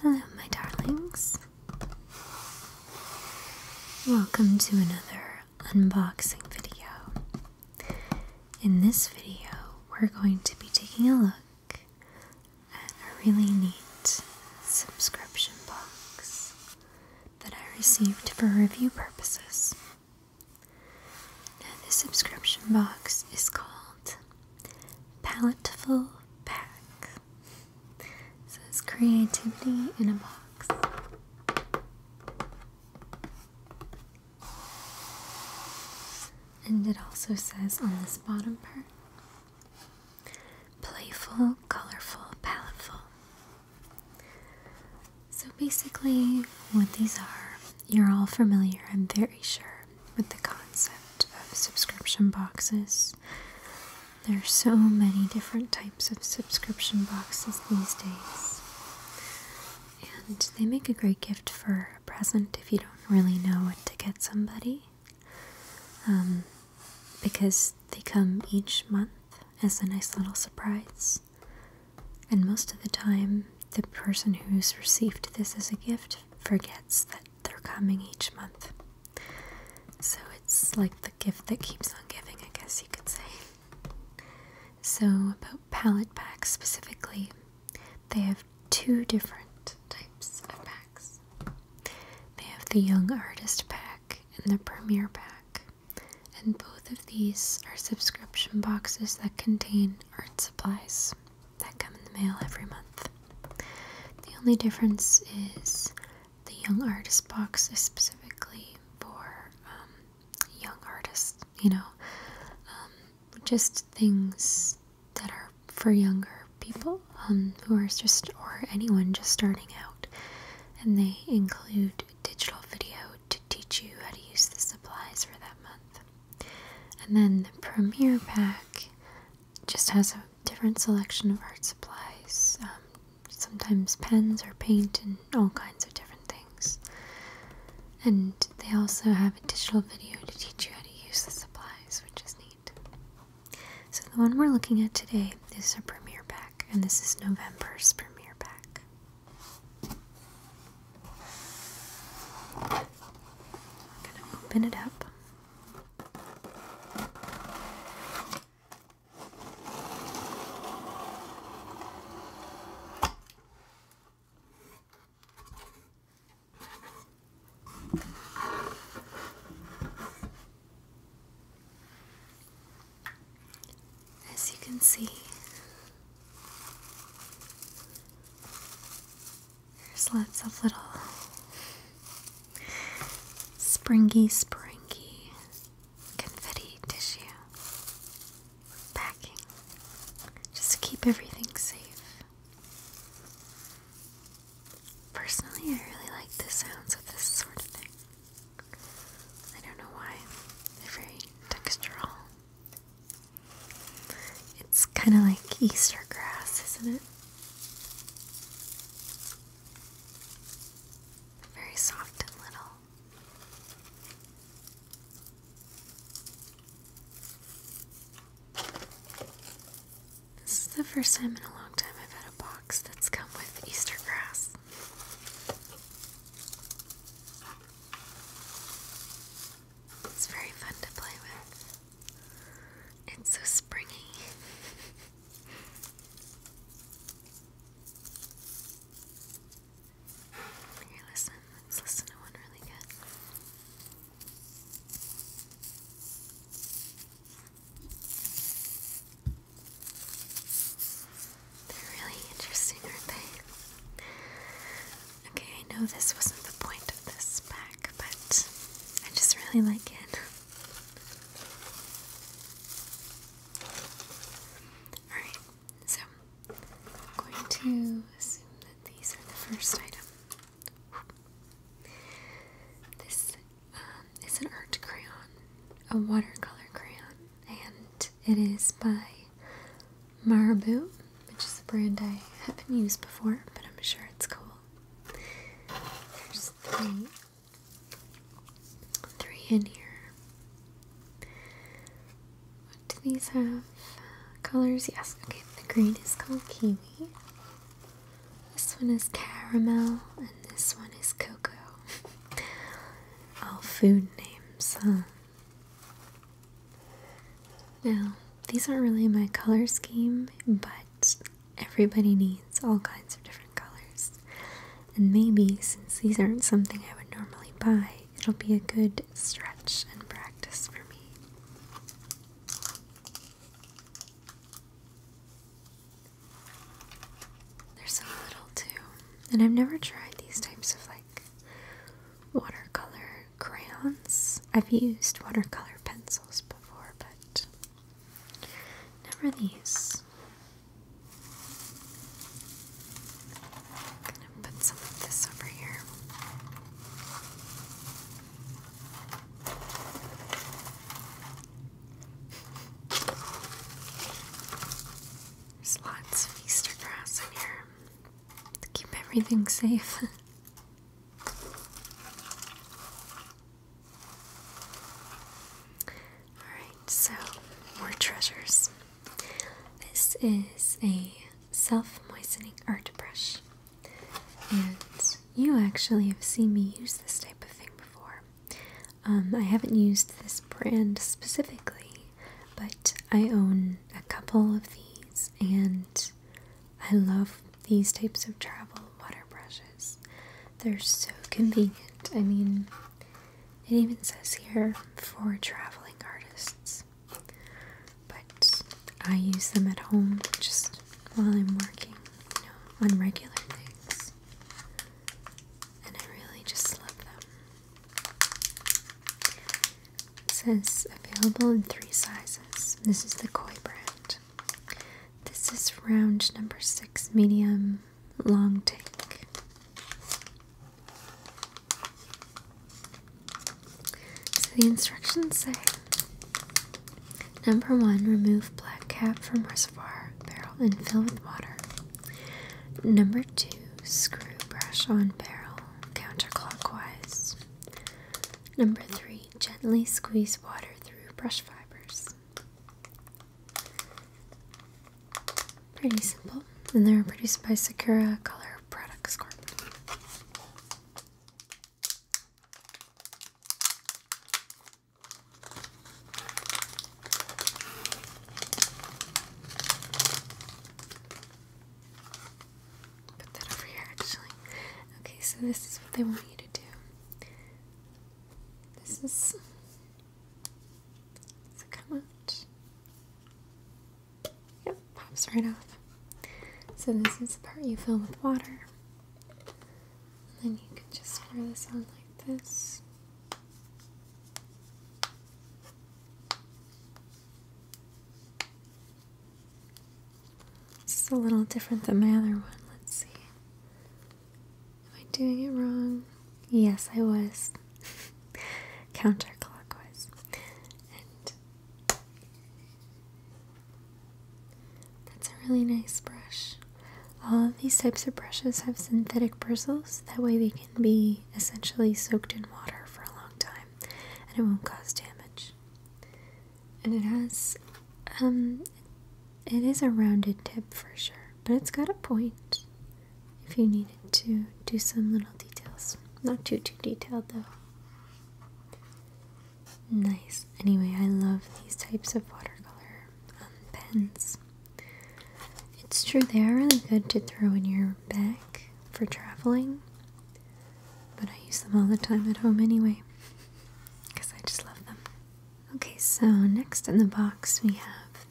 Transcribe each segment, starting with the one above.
Hello, my darlings. Welcome to another unboxing video. In this video, we're going to be taking a look at a really neat subscription box that I received for review purposes. Now, this subscription box is called Paletteful pack. says creativity in a box. And it also says on this bottom part playful, colorful, paletteful. So basically, what these are, you're all familiar, I'm very sure with the concept of subscription boxes. There are so many different types of subscription boxes these days. And they make a great gift for a present if you don't really know what to get somebody. Um, because they come each month as a nice little surprise. And most of the time, the person who's received this as a gift forgets that they're coming each month. So it's like the gift that keeps on giving, I guess you could say. So, about palette packs specifically, they have two different types of packs they have the Young Artist Pack and the premier Pack, and both of these are subscription boxes that contain art supplies that come in the mail every month. The only difference is the Young Artist box is specifically for um, young artists, you know, um, just things that are for younger people um, just, or anyone just starting out. And they include digital video to teach you how to use the supplies for that month. And then the Premiere Pack just has a different selection of art supplies, um, sometimes pens or paint, and all kinds of different things. And they also have a digital video to teach you how to use the supplies, which is neat. So, the one we're looking at today is a premiere pack, and this is November's premiere pack. I'm going to open it up. As you can see, there's lots of little springy, springy confetti tissue packing just to keep everything safe. Personally, I really like the sounds of this sort of thing. I don't know why. They're very textural. It's kind of like Easter grass, isn't it? Very soft and little. This is the first time in a long time I've had a box that's come with Easter grass. It's very fun to play with. It's so springy. Here, listen. Let's listen to one really good. They're really interesting, aren't they? Okay, I know this wasn't the point of this pack but I just really like it. Alright, so I'm going to assume that these are the first item. This um, is an art crayon, a watercolor crayon, and it is by Marabu, which is a brand I haven't used before, but I'm sure it's cool. There's three. Three in here. What do these have? Colors? Yes. Okay, the green is called kiwi. This one is caramel, and this one is cocoa. All food names, huh? Now, these aren't really my color scheme, but everybody needs all kinds of different colors. And maybe since these aren't something I would normally buy, it'll be a good stretch and practice for me. There's a little too, and I've never tried these types of like watercolor crayons. I've used watercolor pencils before, but never these. gonna put some of this over here. There's lots of Easter grass in here to keep everything safe. Alright, so more treasures. This is a self moistening art brush. And you actually have seen me use this type of thing before. Um, I haven't used this brand specifically, but I own a couple of these and I love these types of travel water brushes. They're so convenient. I mean, it even says here for traveling artists. But I use them at home just while I'm working, you know, on regular things. And I really just love them. It says available in three sizes. This is the Koi brand. This is round number six, medium long tank. So the instructions say number one, remove black cap from reservoir barrel and fill with water. Number two, screw brush on barrel counterclockwise. Number three, gently squeeze water through brush fibers. Pretty simple, and they're produced by Sakura Color Products Corp. Put that over here actually. Okay, so this is what they want you to do. This is so come out. Yep, pops right off. So this is the part you fill with water. And then you can just square this on like this. This is a little different than my other one. Let's see. Am I doing it wrong? Yes, I was. Counterclockwise. that's a really nice brush. All of these types of brushes have synthetic bristles. That way they can be essentially soaked in water for a long time and it won't cause damage and it has um it is a rounded tip for sure but it's got a point if you needed to do some little details not too too detailed though nice anyway i love these types of watercolor um, pens it's true they are really good to throw in your bag for traveling but i use them all the time at home anyway because I just love them. Okay, so next in the box we have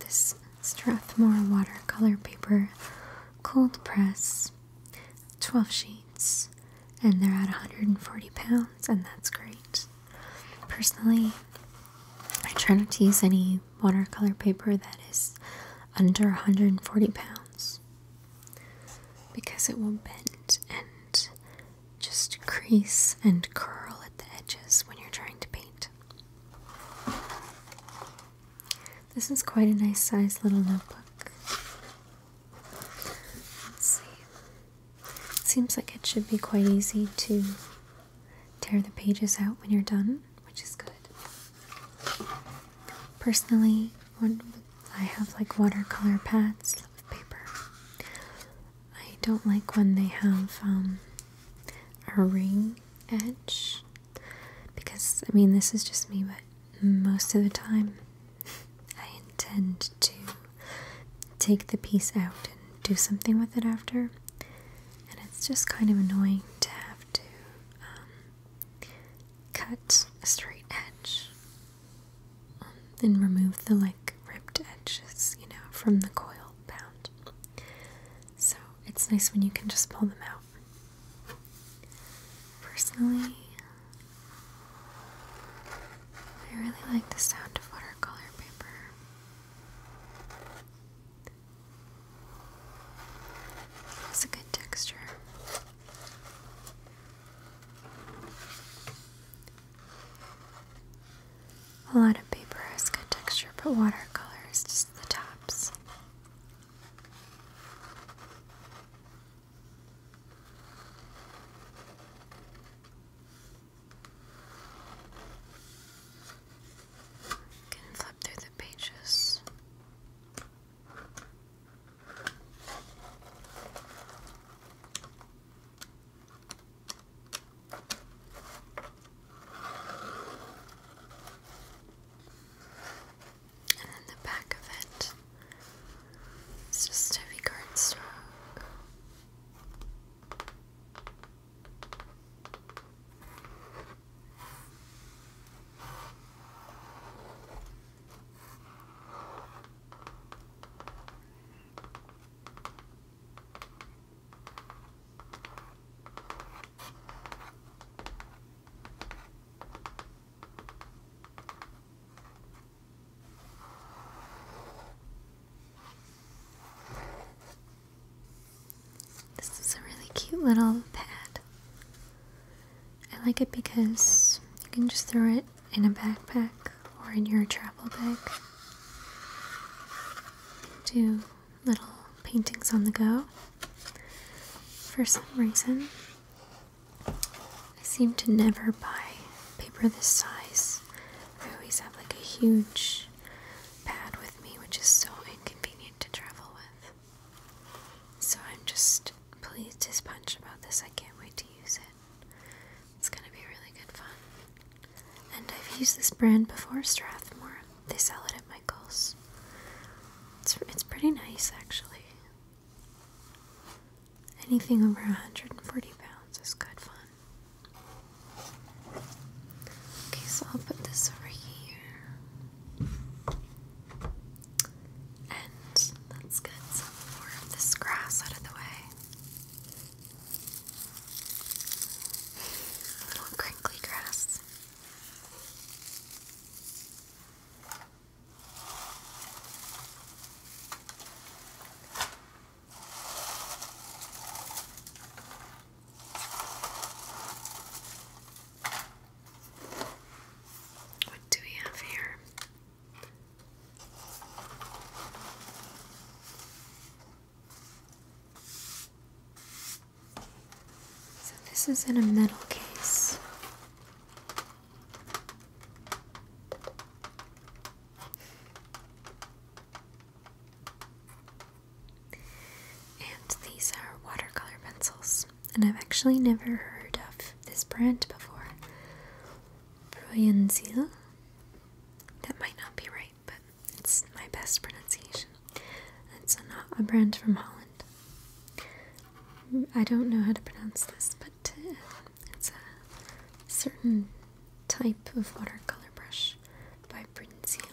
this Strathmore watercolor paper cold press, 12 sheets, and they're at 140 pounds, and that's great. Personally, I try not to use any watercolor paper that is under 140 pounds because it will bend and just crease and curl at the edges when you're trying to paint. This is quite a nice size little notebook. Let's see. seems like it should be quite easy to tear the pages out when you're done, which is good. Personally, I have like watercolor pads of paper. I don't like when they have um, a ring edge because I mean this is just me, but most of the time I intend to take the piece out and do something with it after, and it's just kind of annoying to have to um, cut a straight edge and remove the like ripped edges, you know, from the coil bound. So it's nice when you can just pull them out. Personally, I really like the sound of watercolor paper. It a good texture. A lot of paper has good texture, but watercolor is just the tops. Can flip through the pages. And then the back of it is just heavy cardstock. This is a really cute little pad. I like it because you can just throw it in a backpack or in your travel bag. Do little paintings on the go. For some reason, I seem to never buy paper this size. I always have like a huge pad with me, which is so inconvenient to travel with. So I'm just pleased as punch about this. I can't wait to use it. It's gonna be really good fun. And I've used this brand before, Strathmore. They sell it at Michael's. It's it's pretty nice actually. Anything over 140 pounds is good fun. Okay, so I'll put this over here. And let's get some more of this grass out of the way. Little crinkly grass. What do we have here? So, this is in a metal case. And these are watercolor pencils, and I've actually never heard of this brand before. Proyenzil. That might not be right, but it's my best pronunciation. It's not a brand from Holland. I don't know how to pronounce this, but uh, it's a certain type of watercolor brush by Brunzil.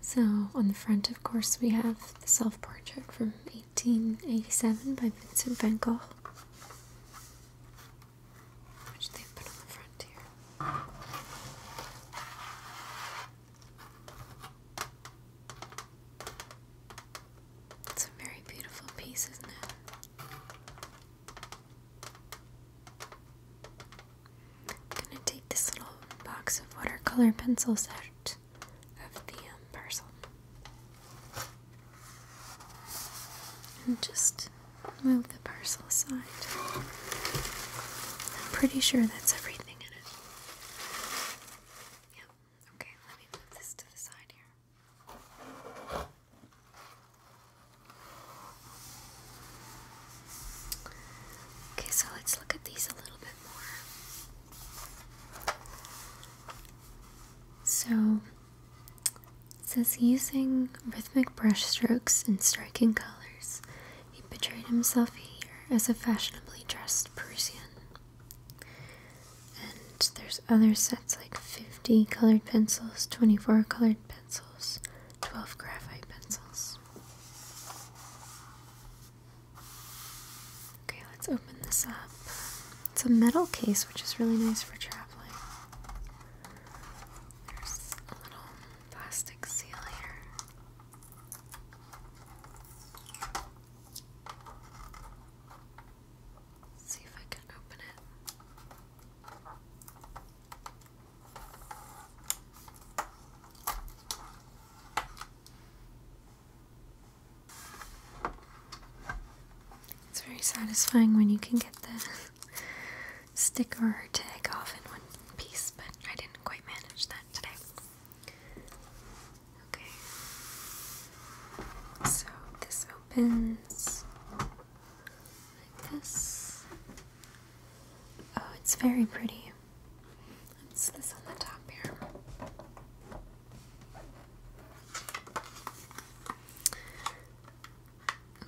So, on the front, of course, we have the self portrait from 1887 by Vincent van Gogh, which they put on the front here. It's a very beautiful piece, isn't it? I'm gonna take this little box of watercolor pencils out of the um, parcel. And just move the parcel aside. I'm pretty sure that's everything in it. Yep. Okay, let me move this to the side here. Okay, so let's look at these a little bit more. So it says using rhythmic brushstrokes and striking colors, he portrayed himself here as a fashionably dressed Parisian. And there's other sets like 50 colored pencils, 24 colored pencils, 12 graphite pencils. Okay, let's open this up. It's a metal case, which is really nice for traveling. There's a little plastic seal here. see if I can open it. It's very satisfying when you can get the sticker or tag off in one piece, but I didn't quite manage that today. Okay. So this opens like this. Oh, it's very pretty. It's this on the top here.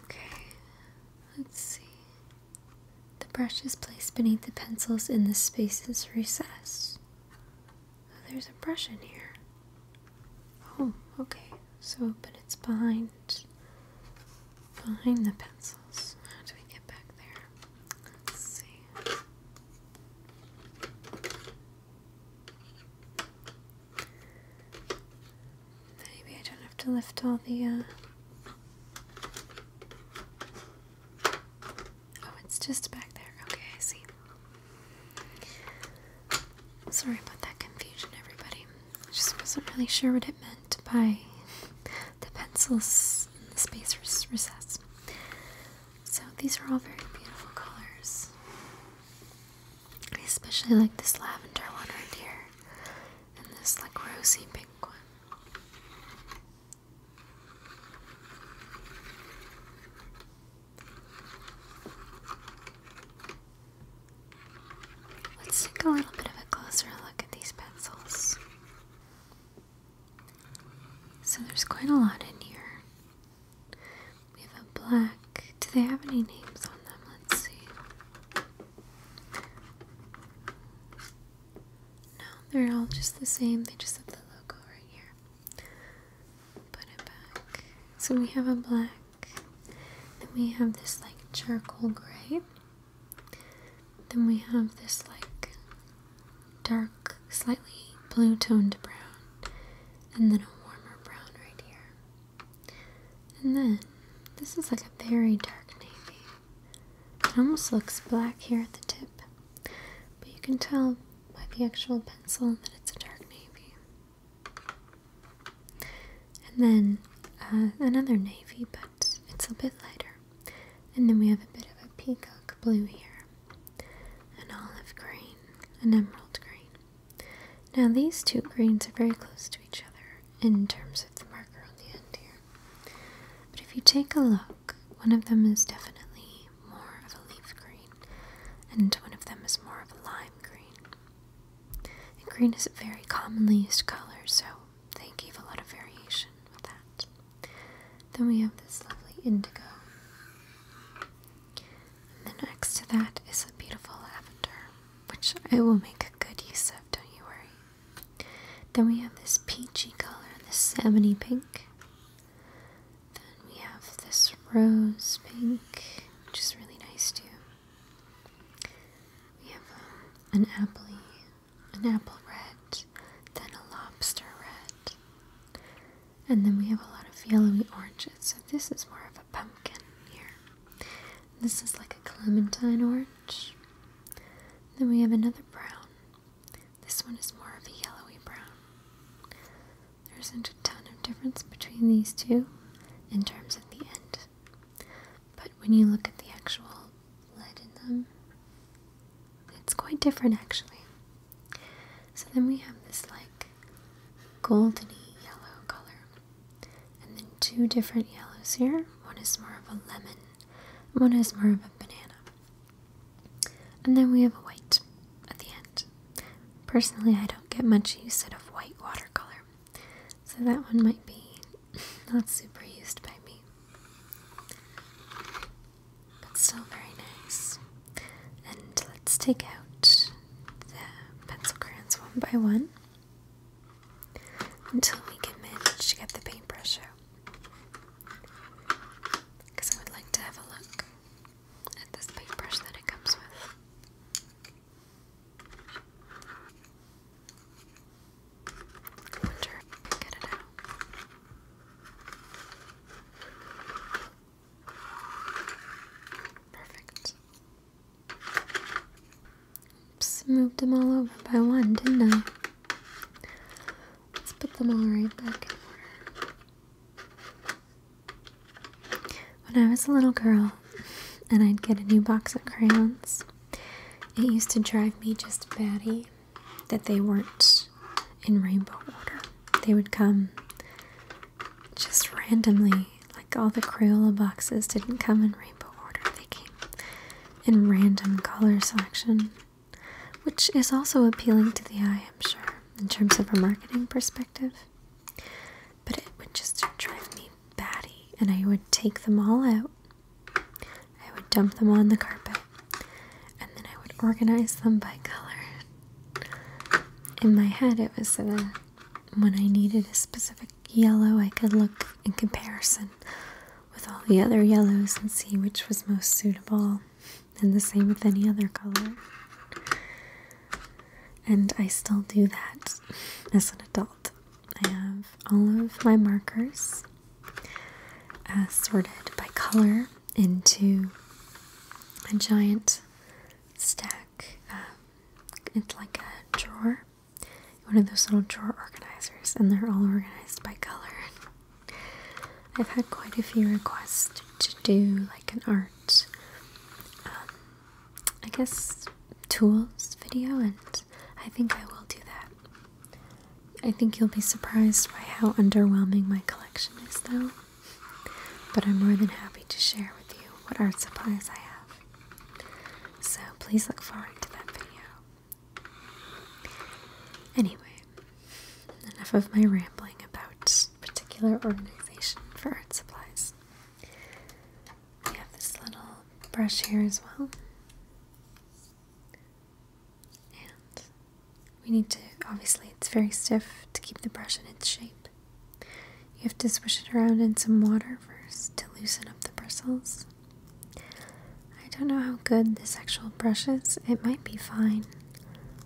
Okay, let's see. The brush is placed beneath the pencils in the space's recess. Oh, there's a brush in here. Oh, okay. So, but it's behind, behind the pencils. How do we get back there? Let's see. Maybe I don't have to lift all the, uh, Oh, it's just back there. Okay, I see. Sorry about that confusion, everybody. I just wasn't really sure what it meant by the pencils in the space recess. So these are all very beautiful colors. I especially like this lavender one right here and this like rosy pink one. Let's take a little bit of a closer look at these pencils. So there's quite a lot in here. We have a black. Do they have any names on them? Let's see. No, they're all just the same. They just have the logo right here. Put it back. So we have a black. Then we have this like charcoal gray. Then we have this like dark, slightly blue toned brown, and then a warmer brown right here. And then this is like a very dark navy. It almost looks black here at the tip, but you can tell by the actual pencil that it's a dark navy. And then uh, another navy, but it's a bit lighter. And then we have a bit of a peacock blue here, an olive green, an emerald green. Now these two greens are very close to each other in terms of the marker on the end here. But if you take a look, one of them is definitely more of a leaf green, and one of them is more of a lime green. green is a very commonly used color, so they gave a lot of variation with that. Then we have this lovely indigo. And then next to that is a beautiful lavender, which I will make a good use of, don't you worry. Then we have this peachy color, this salmony pink. Then we have this rose pink, which is really nice too. We have um, an apple, an apple red, then a lobster red, and then we have a lot of yellowy oranges. So this is more of a pumpkin here. This is like a clementine orange. Then we have another brown. This one is more of a yellowy brown. There isn't a ton of difference between these two in terms of the end. But when you look at the actual lead in them, it's quite different actually. So then we have this like goldeny yellow color. And then two different yellows here. One is more of a lemon, one is more of a banana. And then we have a white at the end. Personally, I don't get much use out of white watercolor. So that one might be not super used by me but still very nice. And let's take out the pencil crayons one by one until we can manage to get the paintbrush out. Because I would like to have a look at this paintbrush that it comes with. I wonder if I can get it out. Perfect. Oops, moved them all over by one, didn't I? Let's put them all right back When I was a little girl and I'd get a new box of crayons, it used to drive me just batty that they weren't in rainbow order. They would come just randomly, like all the Crayola boxes didn't come in rainbow order, they came in random color selection, which is also appealing to the eye, I'm sure, in terms of a marketing perspective. But it would just drive me batty, and I would take them all out. I would dump them on the carpet and then I would organize them by color. In my head, it was that when I needed a specific yellow, I could look in comparison with all the other yellows and see which was most suitable, and the same with any other color. And I still do that as an adult. I have all of my markers uh, sorted by color into a giant stack. Um, it's like a drawer, one of those little drawer organizers, and they're all organized by color. I've had quite a few requests to do like an art, um, I guess, tools video, and I think I will do that. I think you'll be surprised by how underwhelming my collection is, though. But I'm more than happy to share with you what art supplies I have. So please look forward to that video. Anyway, enough of my rambling about particular organization for art supplies. We have this little brush here as well. And we need to, obviously, it's very stiff to keep the brush in its shape. You have to swish it around in some water first to loosen up the bristles. I don't know how good this actual brush is, it might be fine,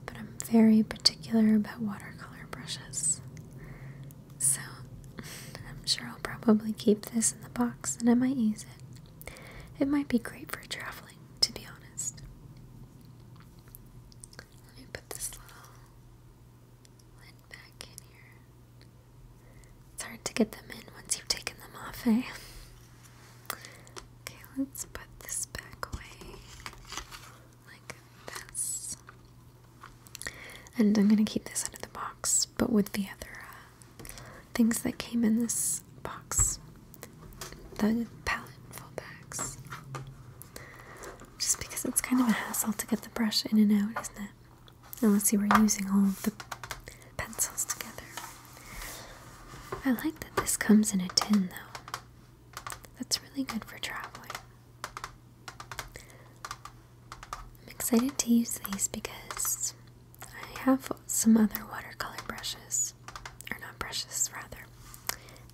but I'm very particular about watercolor brushes. So I'm sure I'll probably keep this in the box and I might use it. It might be great for traveling, to be honest. Let me put this little lid back in here. It's hard to get them in once you've taken them off, eh? Okay, let's put this back away like this. And I'm gonna keep this out of the box, but with the other uh, things that came in this box the palette fullbacks. Just because it's kind of a hassle to get the brush in and out, isn't it? let's see, we're using all of the pencils together. I like that this comes in a tin though. That's really good for traveling. I'm excited to use these because I have some other watercolor brushes brushes, not brushes, rather,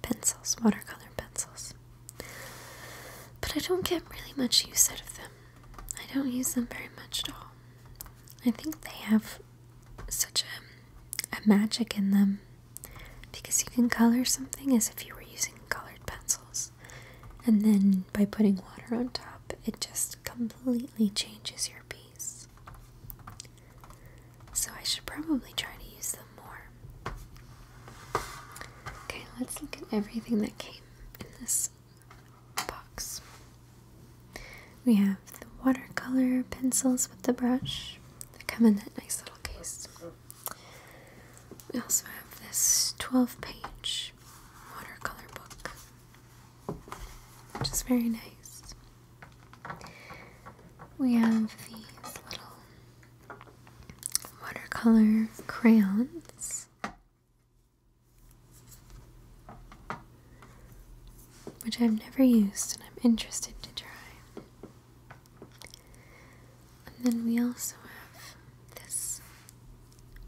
pencils, watercolor pencils. But I don't get really much use out of them. I don't use them very much at all. I think they have such a magic in them because you can color something as if you were using colored pencils. And then by putting water on top, it just completely changes your piece. So I should probably try to use them more. Okay, let's look at everything that came in this box. We have the watercolor pencils with the brush. They come in that nice little case. We also have this 12 page watercolor book, which is very nice. We have these little watercolor crayons. Which I've never used and I'm interested to try. And then we also have this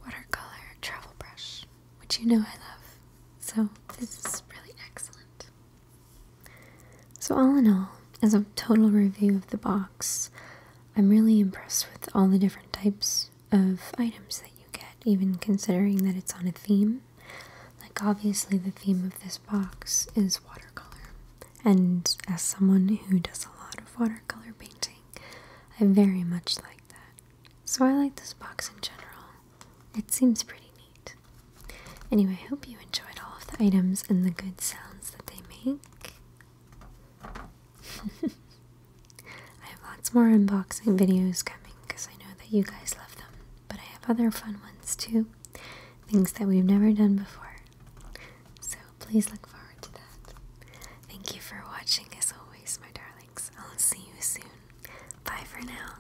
watercolor travel brush, which you know I love. So, this is really excellent. So, all in all, as a total review of the box, I'm really impressed with all the different types of items that you get, even considering that it's on a theme. Like, obviously, the theme of this box is watercolor. And as someone who does a lot of watercolor painting, I very much like that. So, I like this box in general. It seems pretty neat. Anyway, I hope you enjoyed all of the items and the good sounds that they make. I have lots more unboxing videos coming because I know that you guys love them, but I have other fun ones too. Things that we've never done before. So please look forward to that. Thank you for watching as always, my darlings. I'll see you soon. Bye for now.